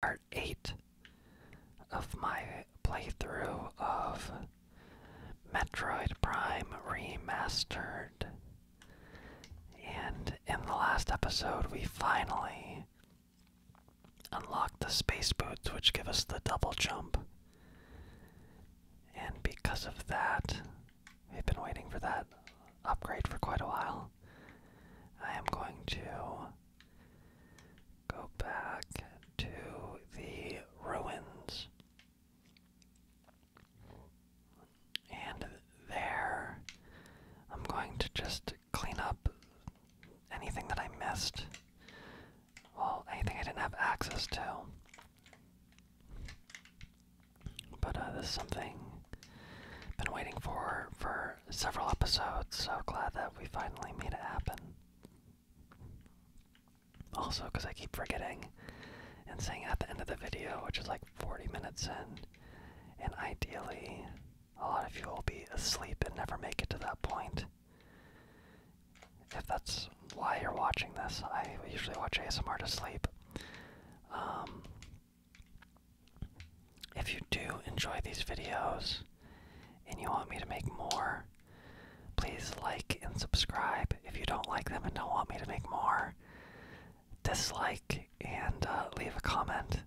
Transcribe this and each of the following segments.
part 8 of my playthrough of Metroid Prime Remastered. And in the last episode, we finally unlocked the space boots, which give us the double jump. And because of that, we've been waiting for that upgrade for quite a while. I am going to go back to the ruins. And there, I'm going to just clean up anything that I missed. Well, anything I didn't have access to. But uh, this is something I've been waiting for for several episodes, so glad that we finally made it happen. Also, because I keep forgetting and saying at the end of the video, which is like 40 minutes in, and ideally, a lot of you will be asleep and never make it to that point. If that's why you're watching this, I usually watch ASMR to sleep. Um, if you do enjoy these videos and you want me to make more, please like and subscribe. If you don't like them and don't want me to make more, dislike and uh, leave a comment,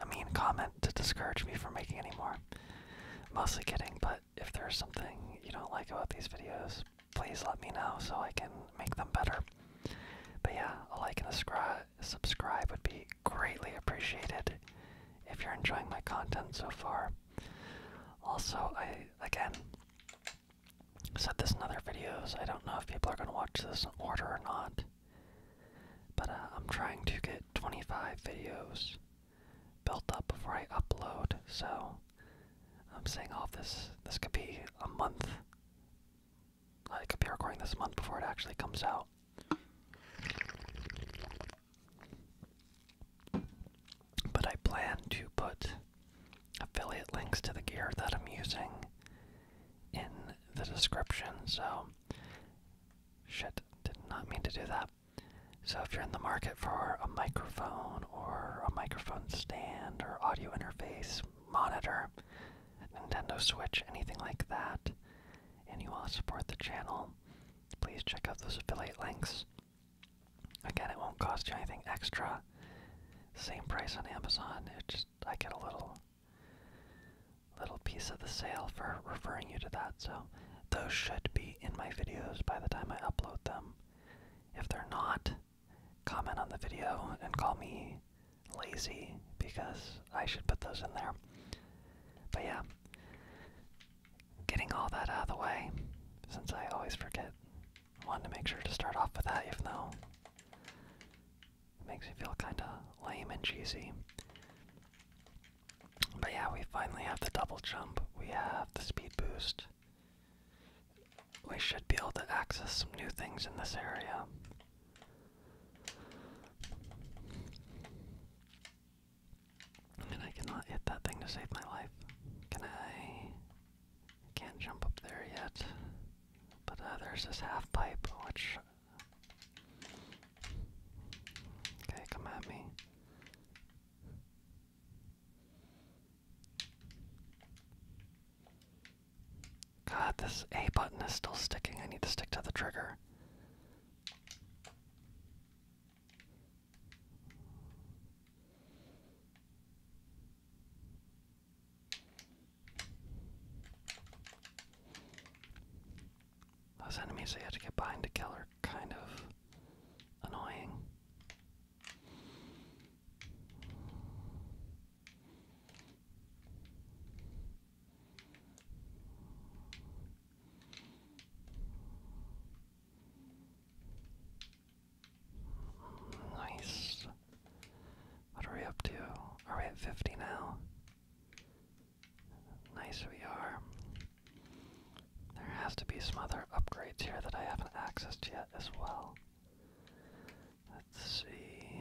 a mean comment to discourage me from making any more. Mostly kidding, but if there's something you don't like about these videos, please let me know so I can make them better. But yeah, a like and subscribe subscribe would be greatly appreciated if you're enjoying my content so far. Also, I again said this in other videos. I don't know if people are going to watch this in order or not, but uh, I'm trying to get 25 videos built up before I upload. So I'm saying all oh, of this. This could be a month. I could be recording this month before it actually comes out. But I plan to put affiliate links to the gear that I'm using in the description. So, shit, did not mean to do that. So, if you're in the market for a microphone or a microphone stand or audio interface, monitor, Nintendo Switch, anything like that, and you want to support the channel, please check out those affiliate links. Again, it won't cost you anything extra. Same price on Amazon. It just I get a little little piece of the sale for referring you to that. So those should be in my videos by the time I upload them. If they're not, comment on the video and call me lazy because I should put those in there. But yeah, getting all that out of the way, since I always forget, I wanted to make sure to start off with that, even though it makes me feel kind of lame and cheesy. But yeah, we finally have the double jump, we have the speed boost. We should be able to access some new things in this area. And I cannot hit that thing to save my life. Can I? Can't jump up there yet. But uh, there's this half pipe, which. Okay, come at me. God, this A button is still sticking. I need to stick to the trigger. Those enemies that you have to get behind to kill are kind of annoying. Nice. What are we up to? Are we at 50 now? Nice we are. There has to be some other upgrades here that I haven't accessed yet as well. Let's see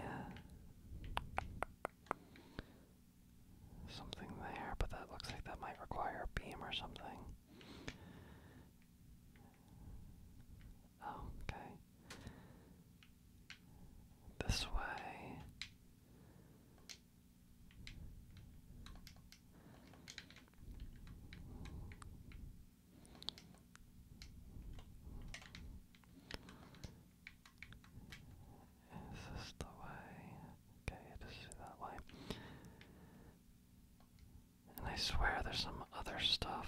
something there, but that looks like that might require a beam or something. Oh, okay. This way. Is this the way? Okay, it is that way. And I swear there's some other stuff.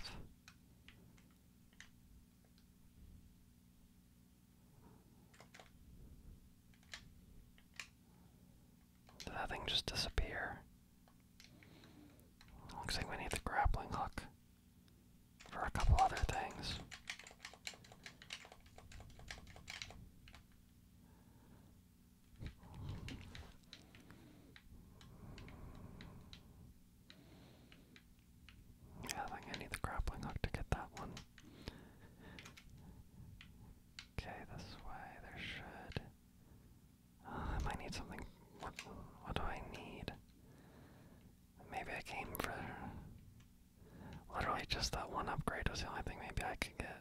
Did that thing just disappear? Looks like we need the grappling hook for a couple other things. Yeah, I think I need the grappling hook to get that one. Okay, this way there should. Uh, I might need something. what do I need? Maybe I came for Literally just that one upgrade was the only thing maybe I could get.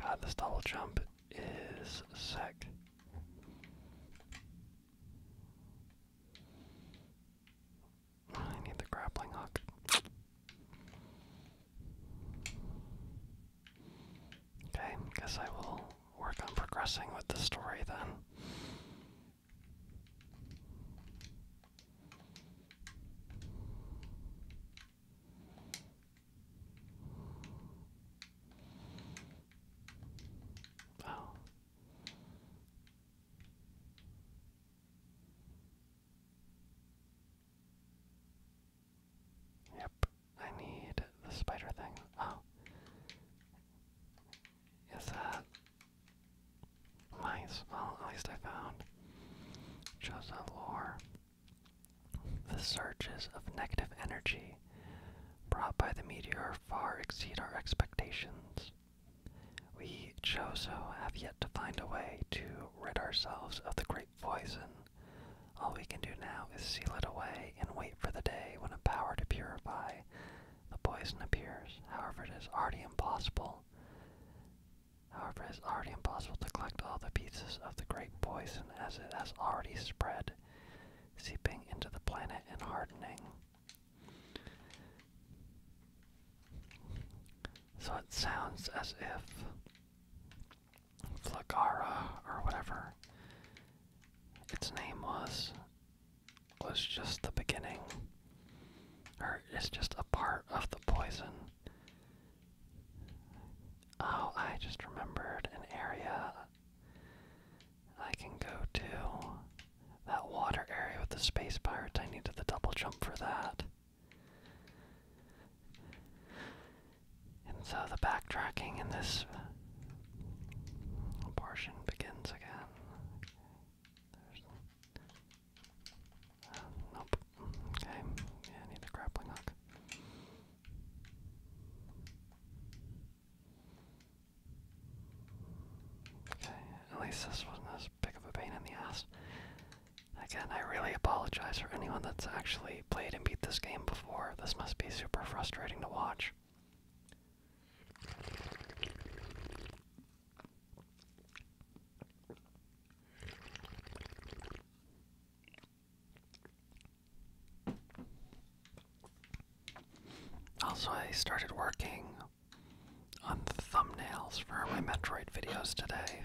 God, this double jump is sick. I need the grappling hook. Okay, guess I will work on progressing with the story then. Oh. Yep, I need the spider thing. Oh. Is that nice? Well, at least I found Josa lore. The surges of negative energy brought by the meteor far exceed our expectations. We Chozo have yet to find a way to rid ourselves of the great poison. All we can do now is seal it away and wait for the day when a power to purify the poison appears. However, it is already impossible. However, it is already impossible to collect all the pieces of the great poison as it has already spread, seeping into the planet and hardening. So it sounds as if Flagara, or whatever its name was, was just the beginning, or is just a part of the poison. Oh, I just remembered an area I can go to that water area with the space pirates. I needed the double jump for that. And so the backtracking in this portion begins again. nope. Okay. Yeah, I need a grappling hook. Okay, at least this wasn't as big of a pain in the ass. Again, I really apologize for anyone that's actually played and beat this game before. This must be super frustrating to watch. Also, I started working on thumbnails for my Metroid videos today.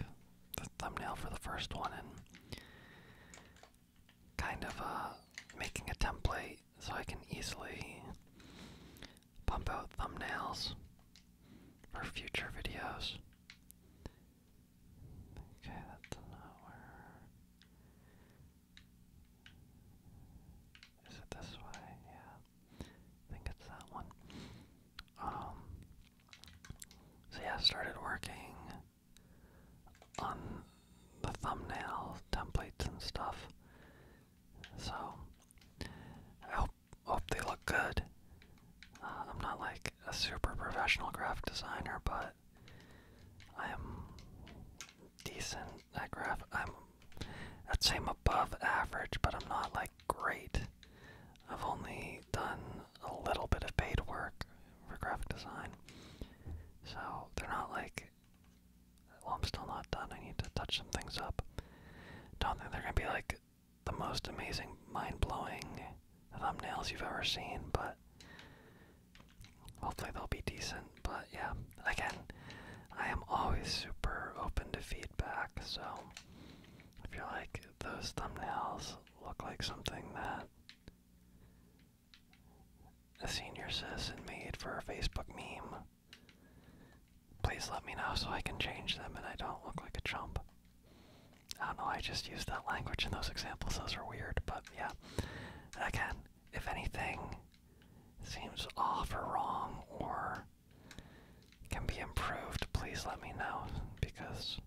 The thumbnail for the first one and kind of uh, making a template so I can easily pump out thumbnails for future videos. Okay, that's not where. Is it this way? Yeah. I think it's that one. Um, so yeah, I started working on the thumbnail templates and stuff. So I hope they look good. Uh, I'm not like a super professional graphic designer, but I am decent that graph. I'm, I'd I'm above average, but I'm not like great. I've only done a little bit of paid work for graphic design, so they're not like. Well, I'm still not done. I need to touch some things up. Don't think they're gonna be like the most amazing, mind-blowing thumbnails you've ever seen, but hopefully they'll be decent. But yeah, again, I am always super open to feedback, so if you like, those thumbnails look like something that a senior citizen made for a Facebook meme, please let me know so I can change them and I don't look like a chump. I don't know, I just use that language in those examples, those are weird, but yeah. Again, if anything seems off or wrong or can be improved, please let me know because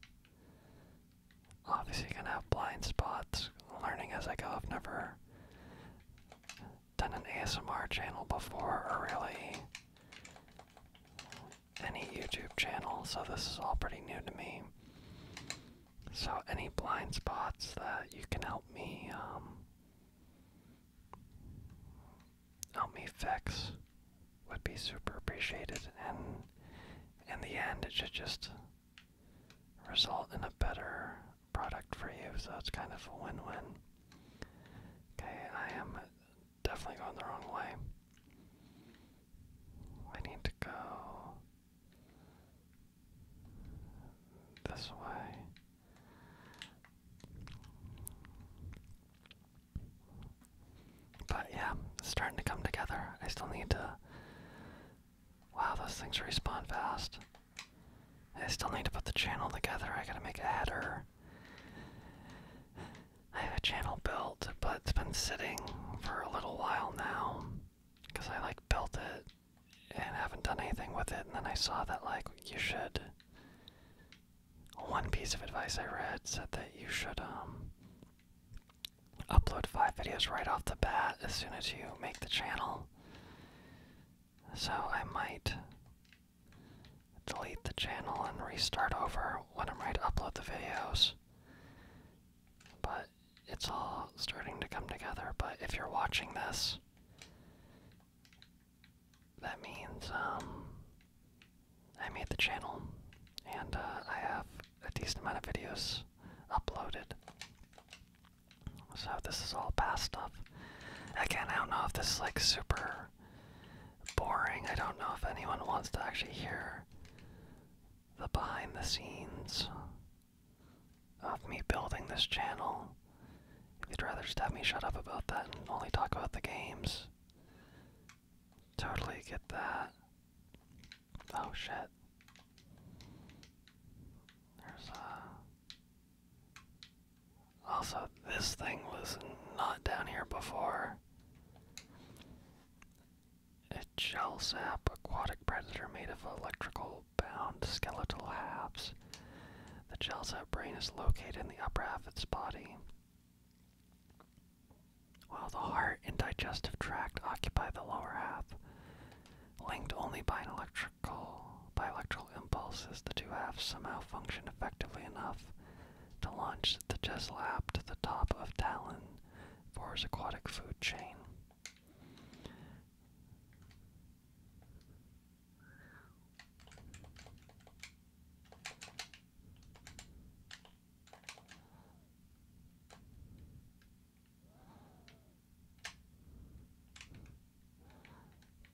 obviously you're gonna have blind spots. Learning as I go, I've never done an ASMR channel before or really any YouTube channel, so this is all pretty new to me. So any blind spots that you can help me um, help me fix would be super appreciated and in the end it should just result in a better product for you so it's kind of a win-win okay i am definitely going the wrong way i need to go this way but yeah, it's starting to come together. I still need to. Wow, those things respawn fast. I still need to put the channel together. I gotta make a header. I have a channel built, but it's been sitting for a little while now. Because I like built it and haven't done anything with it, and then I saw that like you should one piece of advice I read said that you should um, upload five videos right off the bat as soon as you make the channel. So I might delete the channel and restart over when I'm ready to upload the videos. But it's all starting to come together. But if you're watching this that means um, I made the channel and uh, I have a decent amount of videos uploaded. So this is all past stuff. Again, I don't know if this is like super boring. I don't know if anyone wants to actually hear the behind the scenes of me building this channel you'd rather just have me shut up about that and only talk about the games, totally get that. Oh shit. There's uh Also this thing was not down here before. A gel sap aquatic predator made of electrical bound skeletal halves. The Gelsa brain is located in the upper half of its body, while the heart and digestive tract occupy the lower half. Linked only by electrical impulses, the two halves somehow function effectively enough to launch the Jesla app to the top of Talon for its aquatic food chain.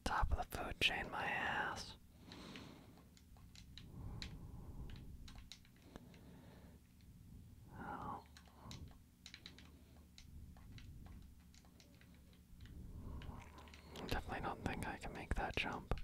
Top of the food chain, my ass. Oh. I Definitely don't think I can make that jump.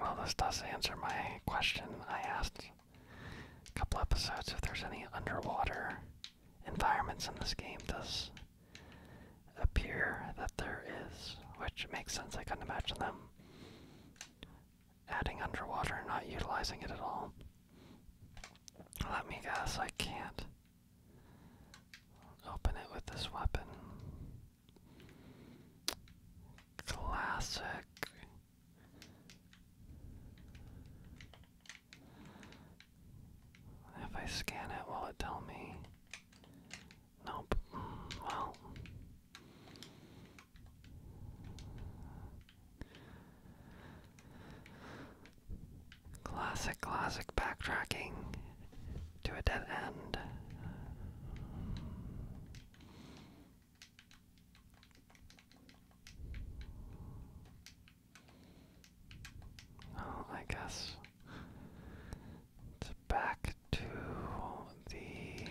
Well, this does answer my question I asked a couple episodes if there's any underwater environments in this game. Does appear that there is, which makes sense. I couldn't imagine them adding underwater and not utilizing it at all. Let me guess, I can't open it with this weapon. Classic. If I scan it, will it tell me? Nope. Well, classic, classic backtracking to a dead end. Well, I guess it's back to the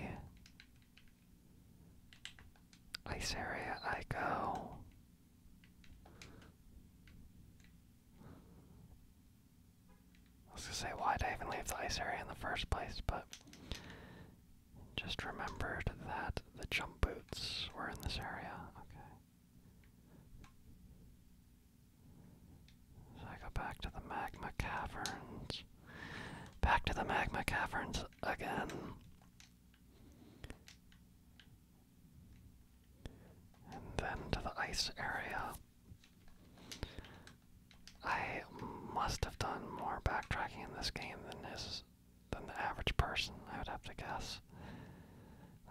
ice area I go. I was gonna say, why'd I even leave the ice area in the first place? But just remembered that the jump boots were in this area. Okay. So I go back to the magma caverns. Back to the magma caverns again. And then to the ice area. I must have done more backtracking in this game than his than the average person, I would have to guess.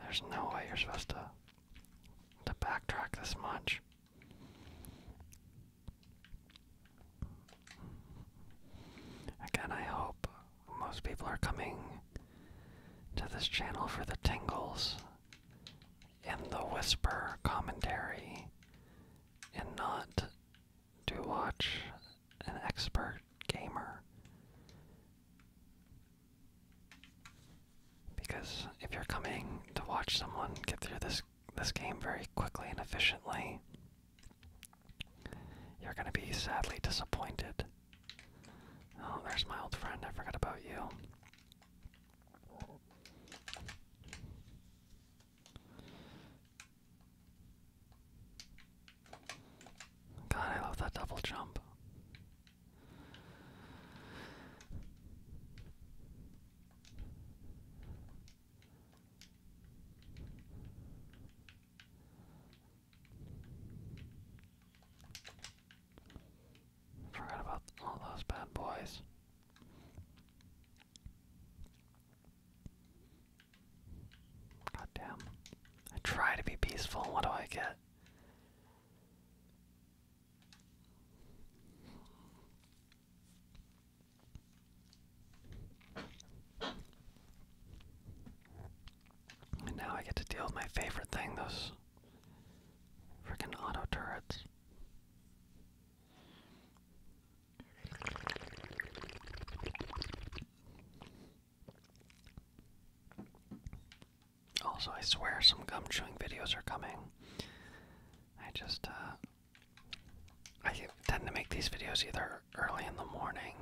There's no way you're supposed to to backtrack this much. Again, I hope most people are coming to this channel for the tingles in the whisper commentary and not to watch an expert gamer. Because if you're coming to watch someone get through this this game very quickly and efficiently, you're gonna be sadly disappointed. Oh, there's my old friend. I forgot about you. God, I love that double jump. Forgot about all those bad boys. God damn. I try to be peaceful, what do I get? And now I get to deal with my favorite thing, those freaking auto turrets. Also, I swear some gum chewing videos are coming. I just, uh, I tend to make these videos either early in the morning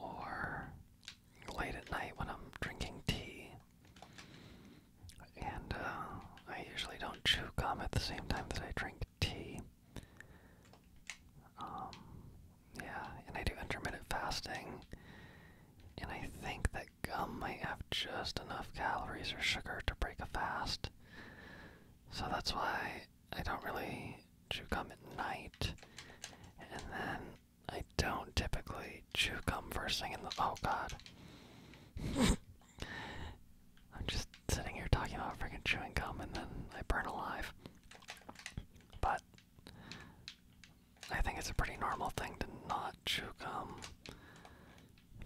or late at night when I'm drinking tea. And uh, I usually don't chew gum at the same time that I drink tea. Um, yeah, and I do intermittent fasting. And I think that gum might have just enough calories or sugar to break a fast. So that's why I don't really chew gum at night. And then I don't typically chew gum first thing in the. Oh god. I'm just sitting here talking about freaking chewing gum and then I burn alive. But I think it's a pretty normal thing to not chew gum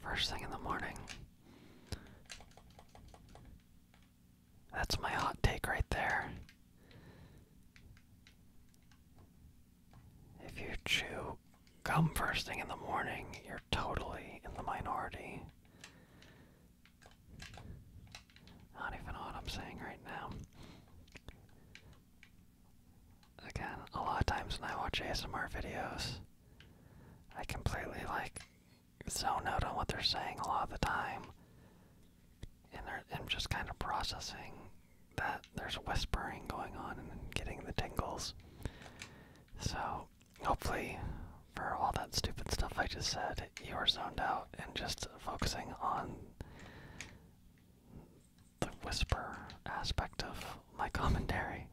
first thing in the morning. That's my hot take right there. If you chew come first thing in the morning, you're totally in the minority. not even what I'm saying right now. Again, a lot of times when I watch ASMR videos, I completely like zone out on what they're saying a lot of the time. And I'm just kind of processing that there's whispering going on and getting the tingles. So, hopefully, for all that stupid stuff I just said, you are zoned out and just focusing on the whisper aspect of my commentary.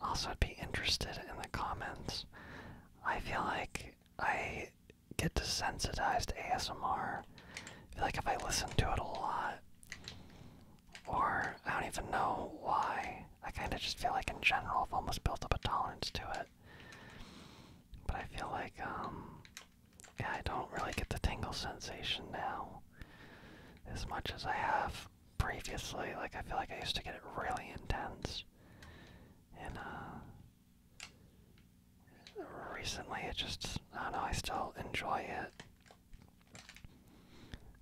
Also, I'd be interested in the comments. I feel like I get desensitized to ASMR. I feel like if I listen to it a lot, or I don't even know why. I kind of just feel like in general I've almost built up a tolerance to it. But I feel like, um, I don't really get the tingle sensation now as much as I have previously. Like, I feel like I used to get it really intense. And, uh, recently it just, I don't know, I still enjoy it.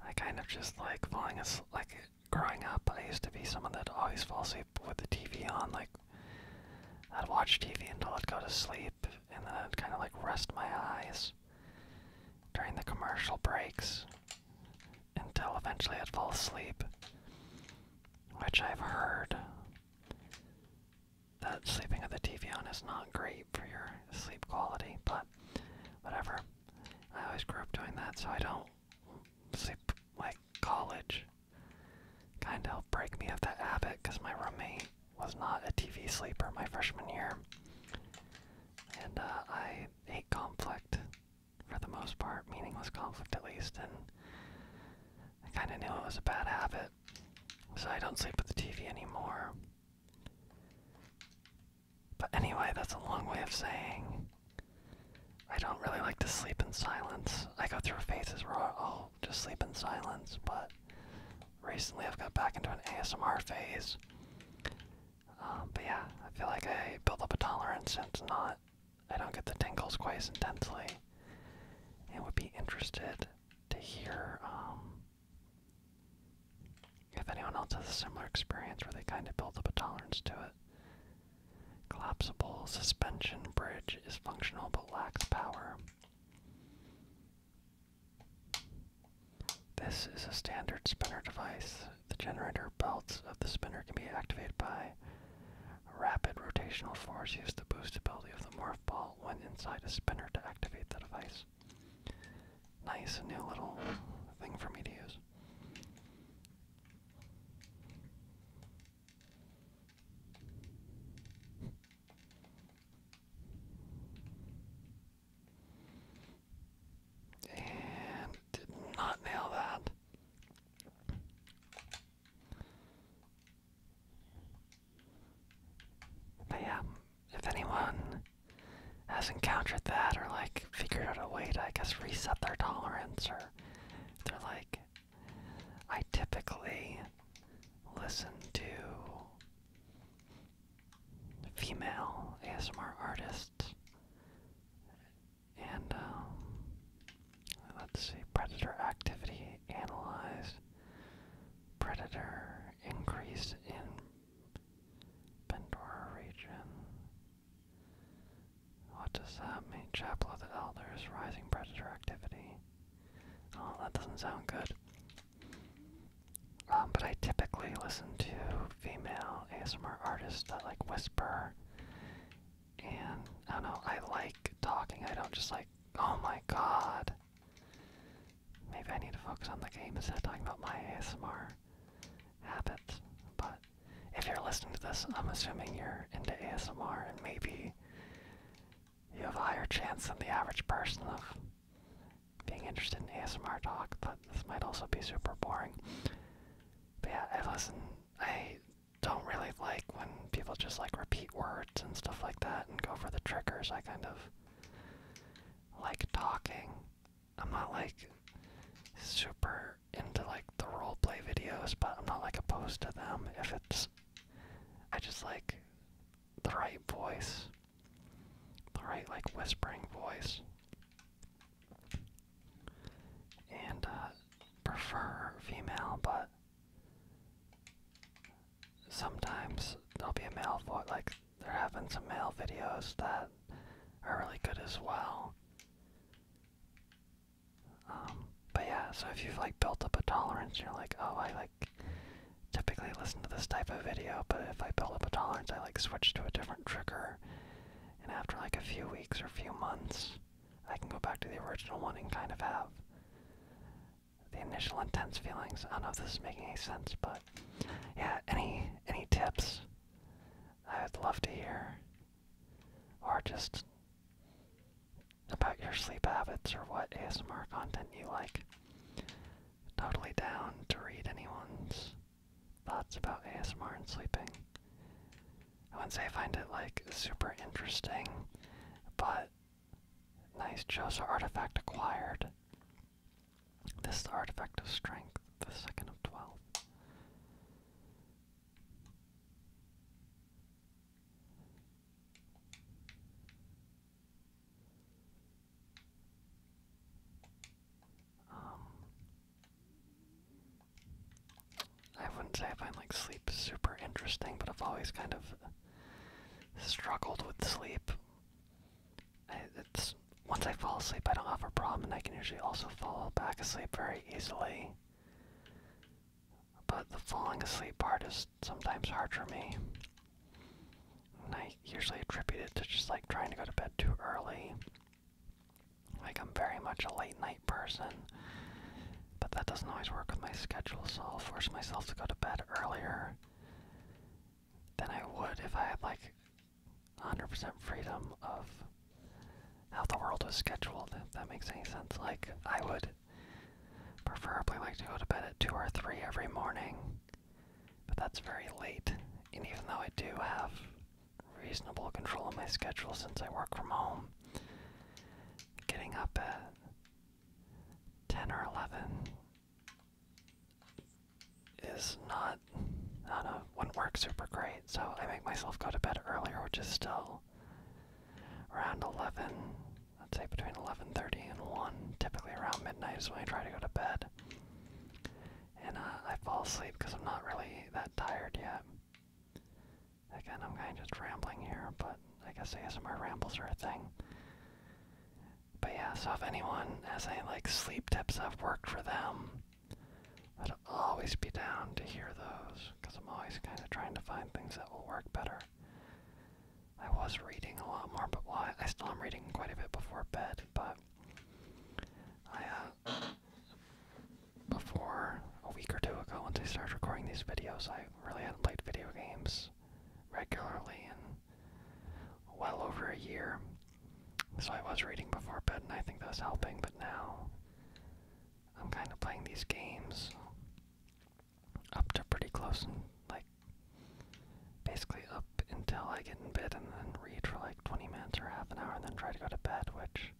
I kind of just like falling asleep. Like growing up, I used to be someone that always fall asleep with the TV on. Like I'd watch TV until I'd go to sleep, and then I'd kind of like rest my eyes during the commercial breaks until eventually I'd fall asleep. Which I've heard that sleeping with the TV on is not great for your sleep quality, but whatever. I always grew up doing that, so I don't sleep like college. Kind of break me of that habit because my roommate was not a TV sleeper my freshman year. And uh, I hate conflict for the most part, meaningless conflict at least, and I kind of knew it was a bad habit. So I don't sleep with the TV anymore. But anyway, that's a long way of saying I don't really like to sleep in silence. I go through phases where I'll just sleep in silence, but recently I've got back into an ASMR phase. Um, but yeah, I feel like I build up a tolerance and it's not, I don't get the tingles quite as intensely. And would be interested to hear um, if anyone else has a similar experience where they kind of build up a tolerance to it, collapsible suspension bridge is functional but lacks power. This is a standard spinner device. The generator belts of the spinner can be activated by rapid rotational force used the boostability of the morph ball when inside a spinner to activate the device nice new little thing for me to use. And did not nail that. But yeah, if anyone has encountered that or like figured out a way to, I guess, reset their tolerance, or they're like, I typically listen to female ASMR artists. And um, let's see, predator activity analyzed, predator increase in Pandora region. What does that mean? Chapel of the Elders, rising predator activity. Oh, that doesn't sound good. Um, but I typically listen to female ASMR artists that like whisper, and I don't know, I like talking. I don't just like, oh my god, Maybe I need to focus on the game instead of talking about my ASMR habits. But if you're listening to this, I'm assuming you're into ASMR and maybe you have a higher chance than the average person of being interested in ASMR talk, but this might also be super boring. But yeah, I listen. I don't really like when people just like repeat words and stuff like that and go for the triggers. I kind of like talking I'm not like super into like the roleplay videos, but I'm not like opposed to them if it's I just like the right voice. The right like whispering voice. And uh prefer female but sometimes there'll be a male voice like they're having some mail videos that are really good as well. Um, but yeah, so if you've like built up a tolerance, you're like, oh, I like typically listen to this type of video, but if I build up a tolerance, I like switch to a different trigger, and after like a few weeks or a few months, I can go back to the original one and kind of have the initial intense feelings. I don't know if this is making any sense, but yeah, any any tips? I would love to hear, or just about your sleep habits or what ASMR content you like. Totally down to read anyone's thoughts about ASMR and sleeping. Once I find it like super interesting, but nice Josa artifact acquired. This is the artifact of strength, the second of twelve. Um, I wouldn't say I find like sleep super interesting, but I've always kind of struggled with sleep. it's once I fall asleep, I don't have a problem, and I can usually also fall back asleep very easily. But the falling asleep part is sometimes hard for me. And I usually attribute it to just like trying to go to bed too early. Like, I'm very much a late night person, but that doesn't always work with my schedule, so I'll force myself to go to bed earlier than I would if I had like 100% freedom of how the world was scheduled, if that makes any sense. Like, I would preferably like to go to bed at 2 or 3 every morning, but that's very late. And even though I do have reasonable control of my schedule since I work from home, getting up at 10 or 11 is not, I don't know, wouldn't work super great. So I make myself go to bed earlier, which is still around 11, I'd say between 11.30 and 1, typically around midnight is when I try to go to bed. And uh, I fall asleep because I'm not really that tired yet. Again, I'm kind of just rambling here, but I guess ASMR rambles are a thing. But yeah, so if anyone has any like sleep tips I've worked for them, I'd always be down to hear those because I'm always kind of trying to find things that will work better. I was reading a lot more, but why? I still am reading quite a bit before bed, but I, uh, before a week or two ago, once I started recording these videos, I really hadn't played video games regularly, and well over a year. So I was reading before bed, and I think that's helping, but now I'm kind of playing these games up to pretty close and like basically up until I get in bed and then read for like 20 minutes or half an hour and then try to go to bed, which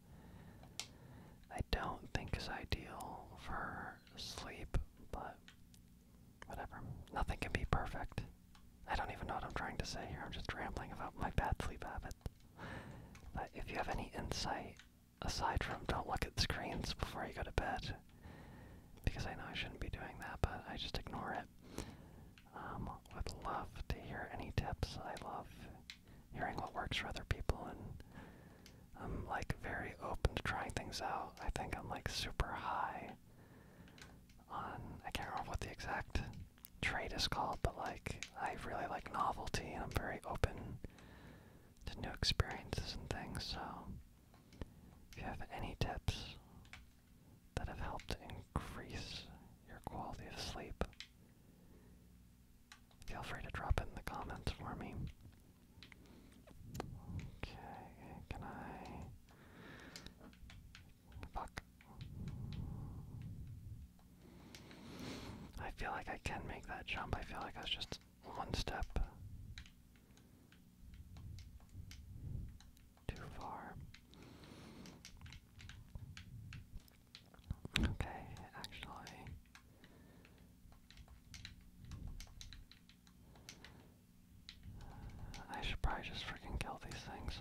I don't think is ideal for sleep, but whatever. Nothing can be perfect. I don't even know what I'm trying to say here. I'm just rambling about my bad sleep habit. But if you have any insight, aside from don't look at screens before you go to bed, because I know I shouldn't be doing that, but I just ignore it. Um, would love to hear any tips. I love hearing what works for other people, and I'm like very open to trying things out. I think I'm like super high on I can't remember what the exact trade is called, but like I really like novelty and I'm very open to new experiences and things, so if you have any tips that have helped increase your quality of sleep, feel free to drop it in the comments for me. Okay, can I Fuck. I feel like I can make that jump. I feel like I was just one step too far. Okay, actually. I should probably just freaking kill these things.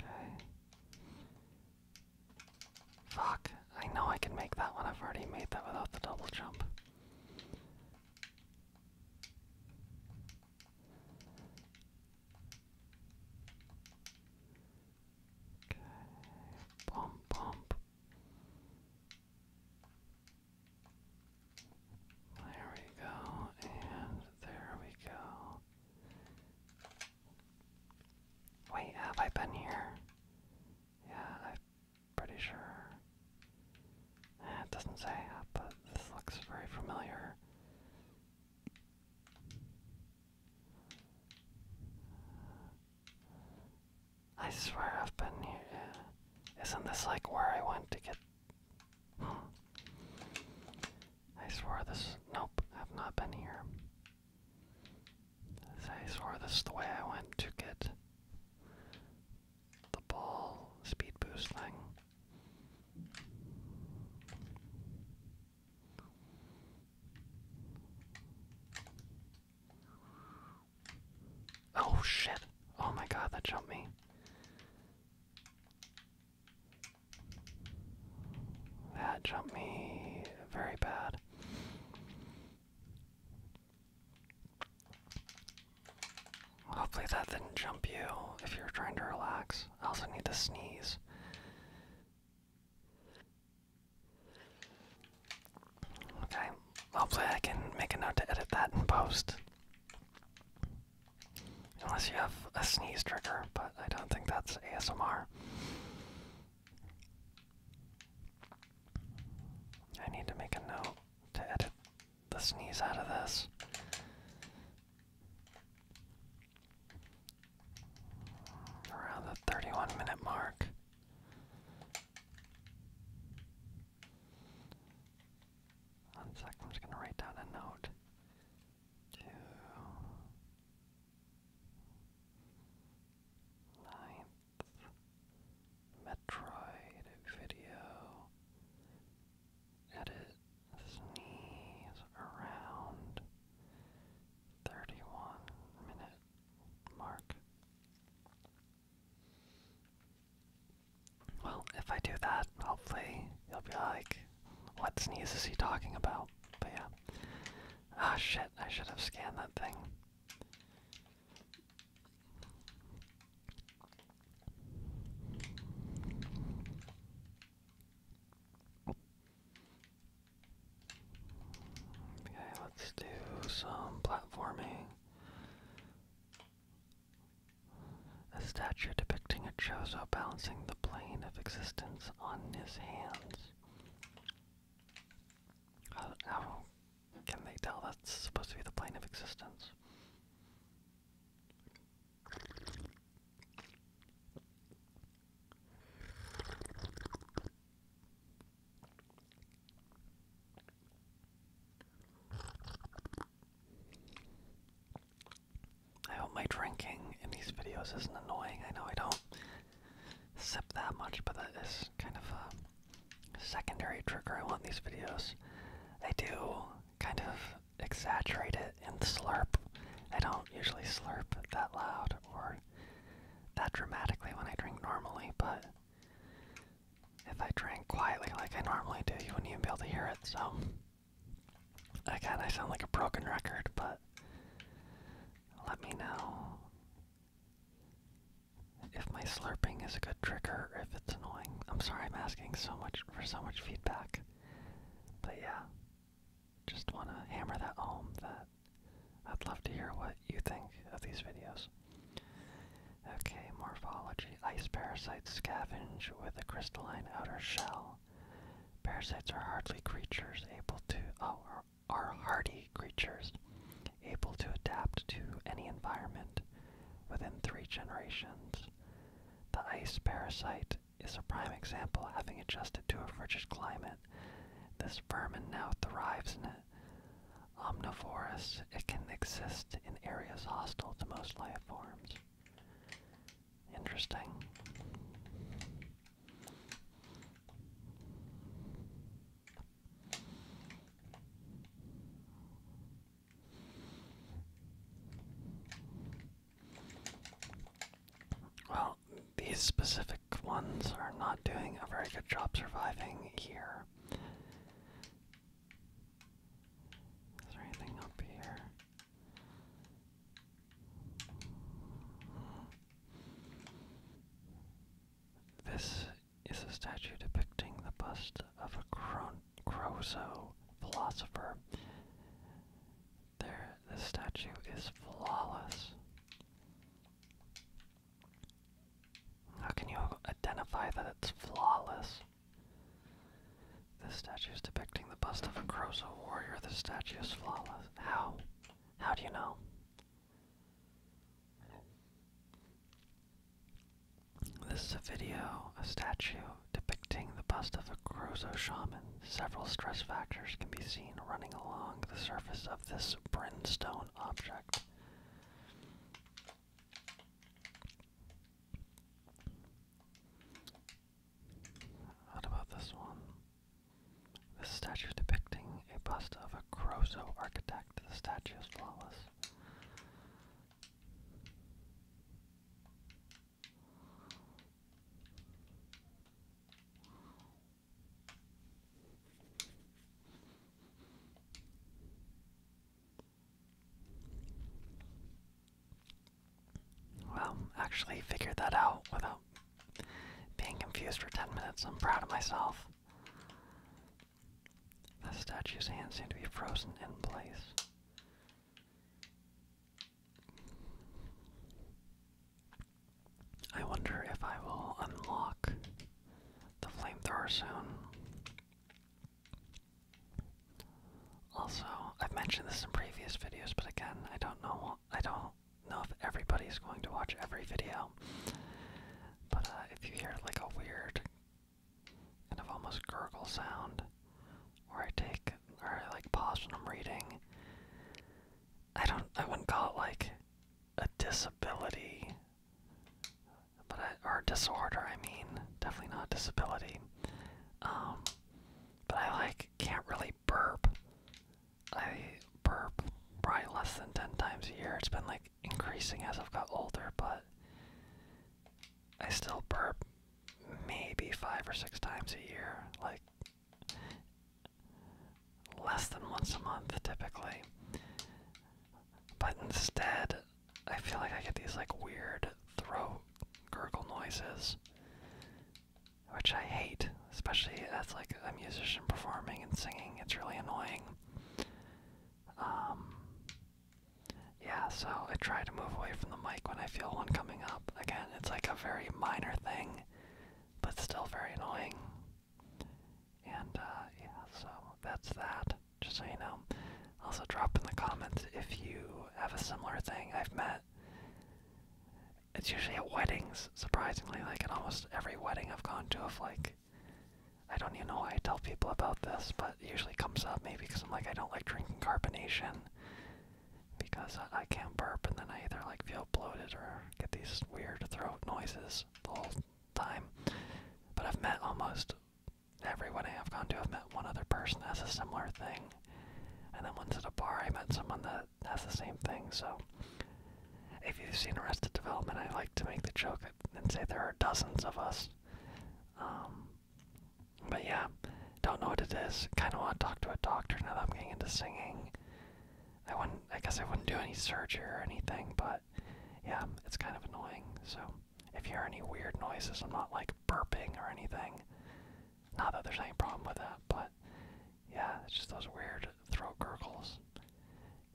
Okay. Fuck. I know I can make that one. I've already made that without the double jump. Okay. Pump, pump. There we go, and there we go. Wait, have I been here? Yeah, I'm pretty sure. it doesn't say, but this looks very familiar. I swear I've been here. Isn't this like where I went to get. Hmm. I swear this. Nope, I've not been here. I swear this is the way I went to get the ball speed boost thing. Oh shit. Oh my god, that jumped me. That jumped me very bad. Hopefully that didn't jump you if you're trying to relax. I also need to sneeze. Okay, hopefully I can make a note to edit that in post. Unless you have a sneeze trigger, but I don't think that's ASMR. I need to make a note to edit the sneeze out of this around the 31 minute mark. One I'm just going to write down a note. Ninth Metroid video edit sneeze around thirty one minute mark. Well, if I do that, hopefully you'll be like, what sneeze is he talking about? But yeah. Ah, shit, I should have scanned that thing. Okay, let's do some platforming. A statue depicting a Chozo balancing the plane of existence on his hands. how can they tell that's supposed to be the plane of existence? I hope my drinking in these videos isn't annoying. I know I don't sip that much, but that is kind of a secondary trigger. I want these videos. they do kind of exaggerate it and slurp. I don't usually slurp that loud or that dramatically when I drink normally, but if I drink quietly like I normally do, you wouldn't even be able to hear it, so I sound like a broken record, but let me know if my slurping is a good trigger if it's annoying. I'm sorry I'm asking so much for so much feedback. But yeah just want to hammer that home that I'd love to hear what you think of these videos. Okay, morphology. Ice parasites scavenge with a crystalline outer shell. Parasites are hardly creatures able to oh, are hardy creatures able to adapt to any environment within three generations. The ice parasite is a prime example having adjusted to a frigid climate. This this now thrives in it. Omnivorous, it can exist in areas hostile to most life forms. Interesting. Well, these specific ones are not doing a very good job surviving here. Is there anything up here? This is a statue depicting the bust of a Cron philosopher. There, this statue is flawless. How can you identify that it's flawless? This statue is depicting the bust of a Croza warrior. The statue is flawless. How? How do you know? This is a video, a statue, depicting the bust of a Crozo shaman. Several stress factors can be seen running along the surface of this brimstone object. What about this one? This statue depicting a bust of a Crozo architect. The statue is flawless. Well, actually figured that out without being confused for 10 minutes. I'm proud of myself. The statue's hands seem to be frozen in place. I wonder if I will unlock the flamethrower soon. Also, I've mentioned this in previous videos, but again, I don't know I don't know if everybody is going to watch every video. But uh, if you hear like a weird kind of almost gurgle sound, or I take or I like pause when I'm reading, I don't I wouldn't call it like a disability, but I, or disorder, I mean, definitely not disability. Um, but I like can't really burp. I burp probably less than ten times a year. It's been like increasing as I've got older, but I still burp maybe five or six times a year. Like less than once a month typically. But instead, I feel like I get these like weird throat gurgle noises, which I hate, especially as like a musician performing and singing. It's really annoying. Um, yeah, so I try to move away from the mic when I feel one coming up. Again, it's like a very minor thing, but still very annoying. And uh, yeah, so that's that. Just so you know. Also, drop in the comments if you have a similar thing. I've met. It's usually at weddings, surprisingly. Like in almost every wedding I've gone to, of like, I don't even know why I tell people about this, but usually comes up maybe because I'm like, I don't like drinking carbonation because I, can't burp, and then I either like feel bloated or get these weird throat noises time. But I've met almost everyone I have gone to. I've met one other person that has a similar thing. And then once at a bar, I met someone that has the same thing. So if you've seen Arrested Development, I like to make the joke and say there are dozens of us. Um, but yeah, don't know what it is. Kind of want to talk to a doctor now that I'm getting into singing. I wouldn't. I guess I wouldn't do any surgery or anything, but yeah, it's kind of annoying. So if you hear any weird noises, I'm not like burping or anything. Not that there's any problem with that, but yeah, it's just those weird throat gurgles.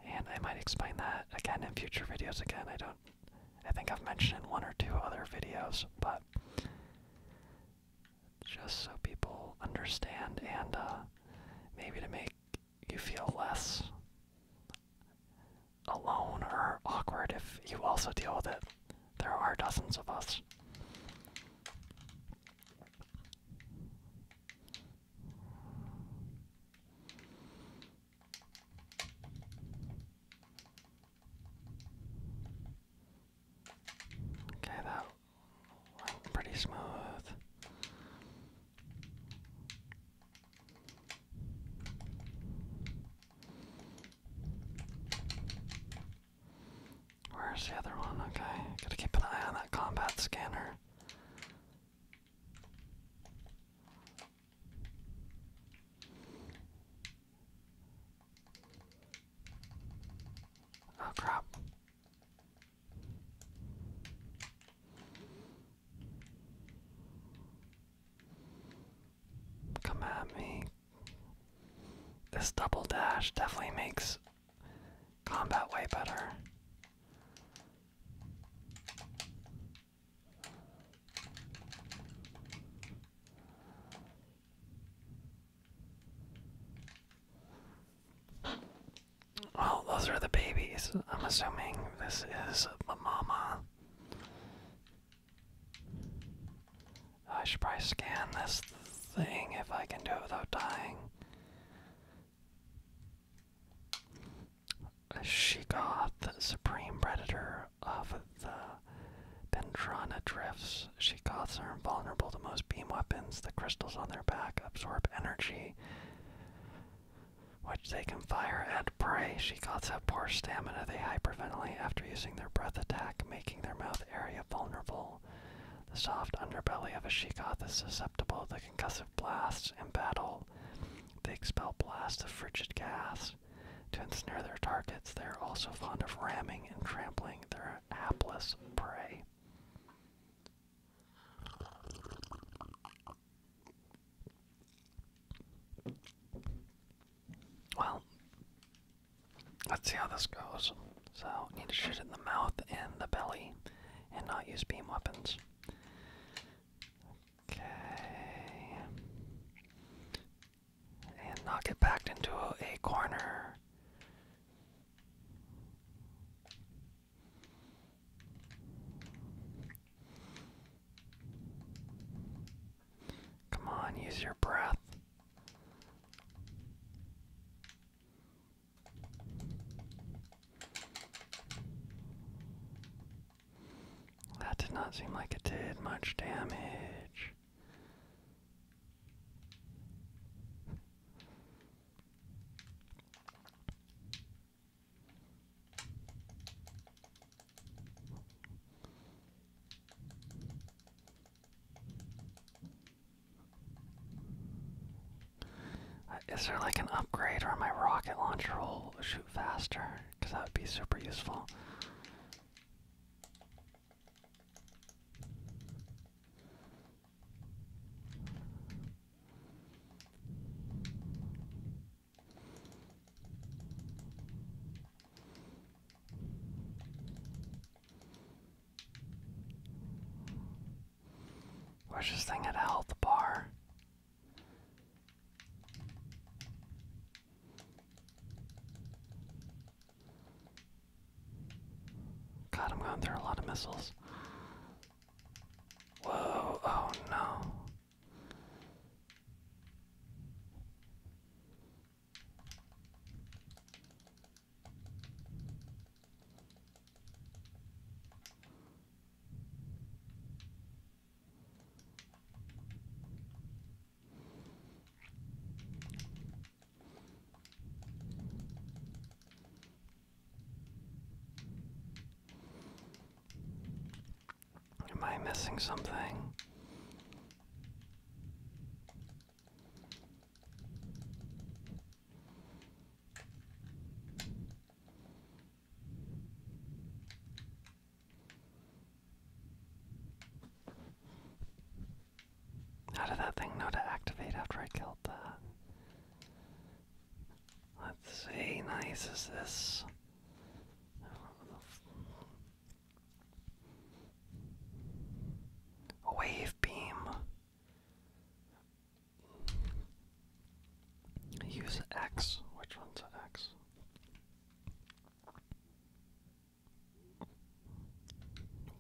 And I might explain that again in future videos. Again, I don't. I think I've mentioned in one or two other videos, but just so people understand and uh, maybe to make you feel less alone or awkward if you also deal with it. There are dozens of us. Okay, that went pretty smooth. Where's the other one? Okay, gotta keep an eye on that combat scanner. Oh crap. Come at me. This double dash definitely makes combat way better. Well, those are the babies. I'm assuming this is the mama. I should probably scan this thing if I can do it without dying. She got the supreme predator of the Bendrana drifts. She goths are invulnerable to most beam weapons. The crystals on their back absorb energy which they can fire at prey. she Shikots have poor stamina. They hyperventilate after using their breath attack, making their mouth area vulnerable. The soft underbelly of a she Shikoth is susceptible to concussive blasts in battle. They expel blasts of frigid gas. To ensnare their targets, they are also fond of ramming and trampling their hapless prey. Well, let's see how this goes. So, need to shoot in the mouth and the belly and not use beam weapons. Okay. And not get backed into a, corner. Come on, use your breath. That did not seem like it did much damage. Uh, is there like an upgrade or my rocket launcher will shoot faster? Because that would be super useful. Where's this thing at a health bar? God, I'm going through a lot of missiles. Whoa, oh no. Am I missing something? How did that thing know to activate after I killed that? Let's see, nice is this. wave beam. Use X. Which one's an X?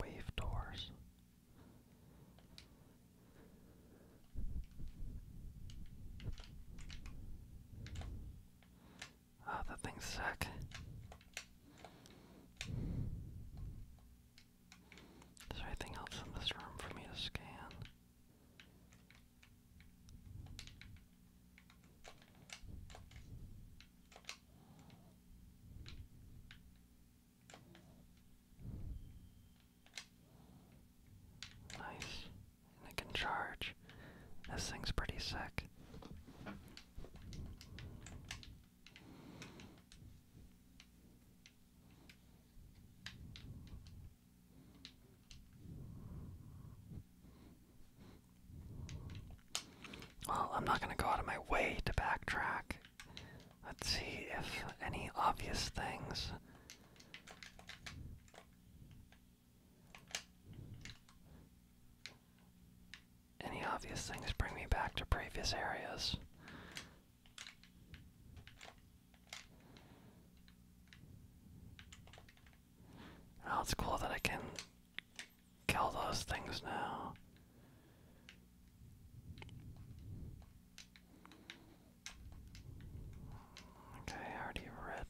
Wave doors. Oh, that thing's sick. Is there anything else in this room for me to scan? Nice. And it can charge. This thing's pretty sick. Well, I'm not going to go out of my way to backtrack. Let's see if any obvious things any obvious things bring me back to previous areas. Oh, it's cool that I can kill those things now. Okay, I already read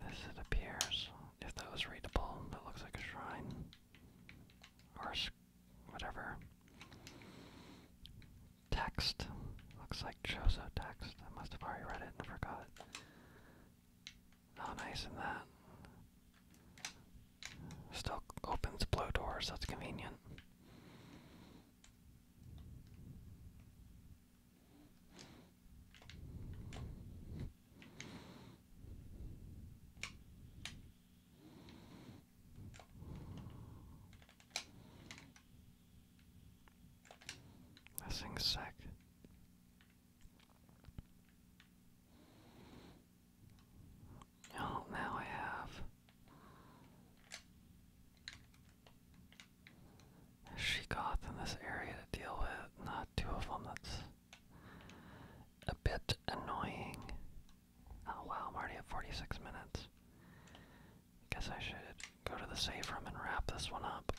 this, it appears. If that was readable, that looks like a shrine. Or whatever. Text. Looks like Chozo text. I must have already read it and forgot. Oh, nice in that. Still opens blue doors, that's convenient. That thing's sick. Oh, now I have she Shegoth in this area to deal with. Not two of them. That's a bit annoying. Oh wow, I'm already at 46 minutes. I guess I should go to the safe room and wrap this one up.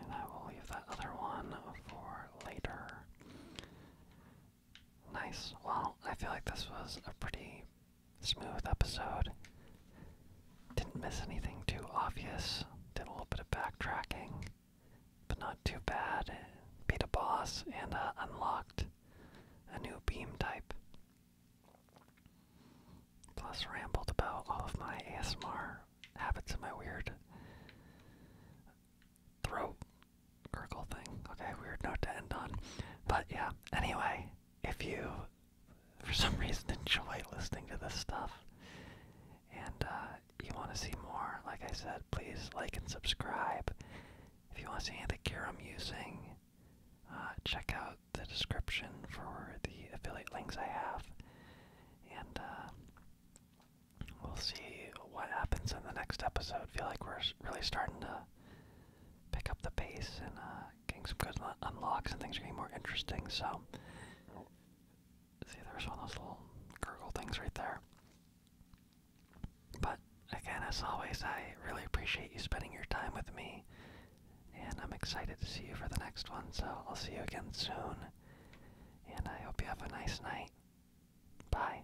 And I will leave that other one for later. Nice. Well, I feel like this was a pretty smooth episode. Didn't miss anything too obvious. Did a little bit of backtracking, but not too bad. Beat a boss and uh, unlocked a new beam type. Plus, rambled about all of my ASMR habits and my weird throat Urkel thing. Okay, weird note to end on. But yeah, anyway, if you for some reason enjoy listening to this stuff and uh, you want to see more, like I said, please like and subscribe. If you want to see anything of I'm using, uh, check out the description for the affiliate links I have. And uh, we'll see what happens in the next episode. feel like we're really starting to pick up the pace and uh, getting some good unlocks and things are getting more interesting. So, see, there's one of those little gurgle things right there. But again, as always, I really appreciate you spending your time with me, and I'm excited to see you for the next one. So, I'll see you again soon, and I hope you have a nice night. Bye.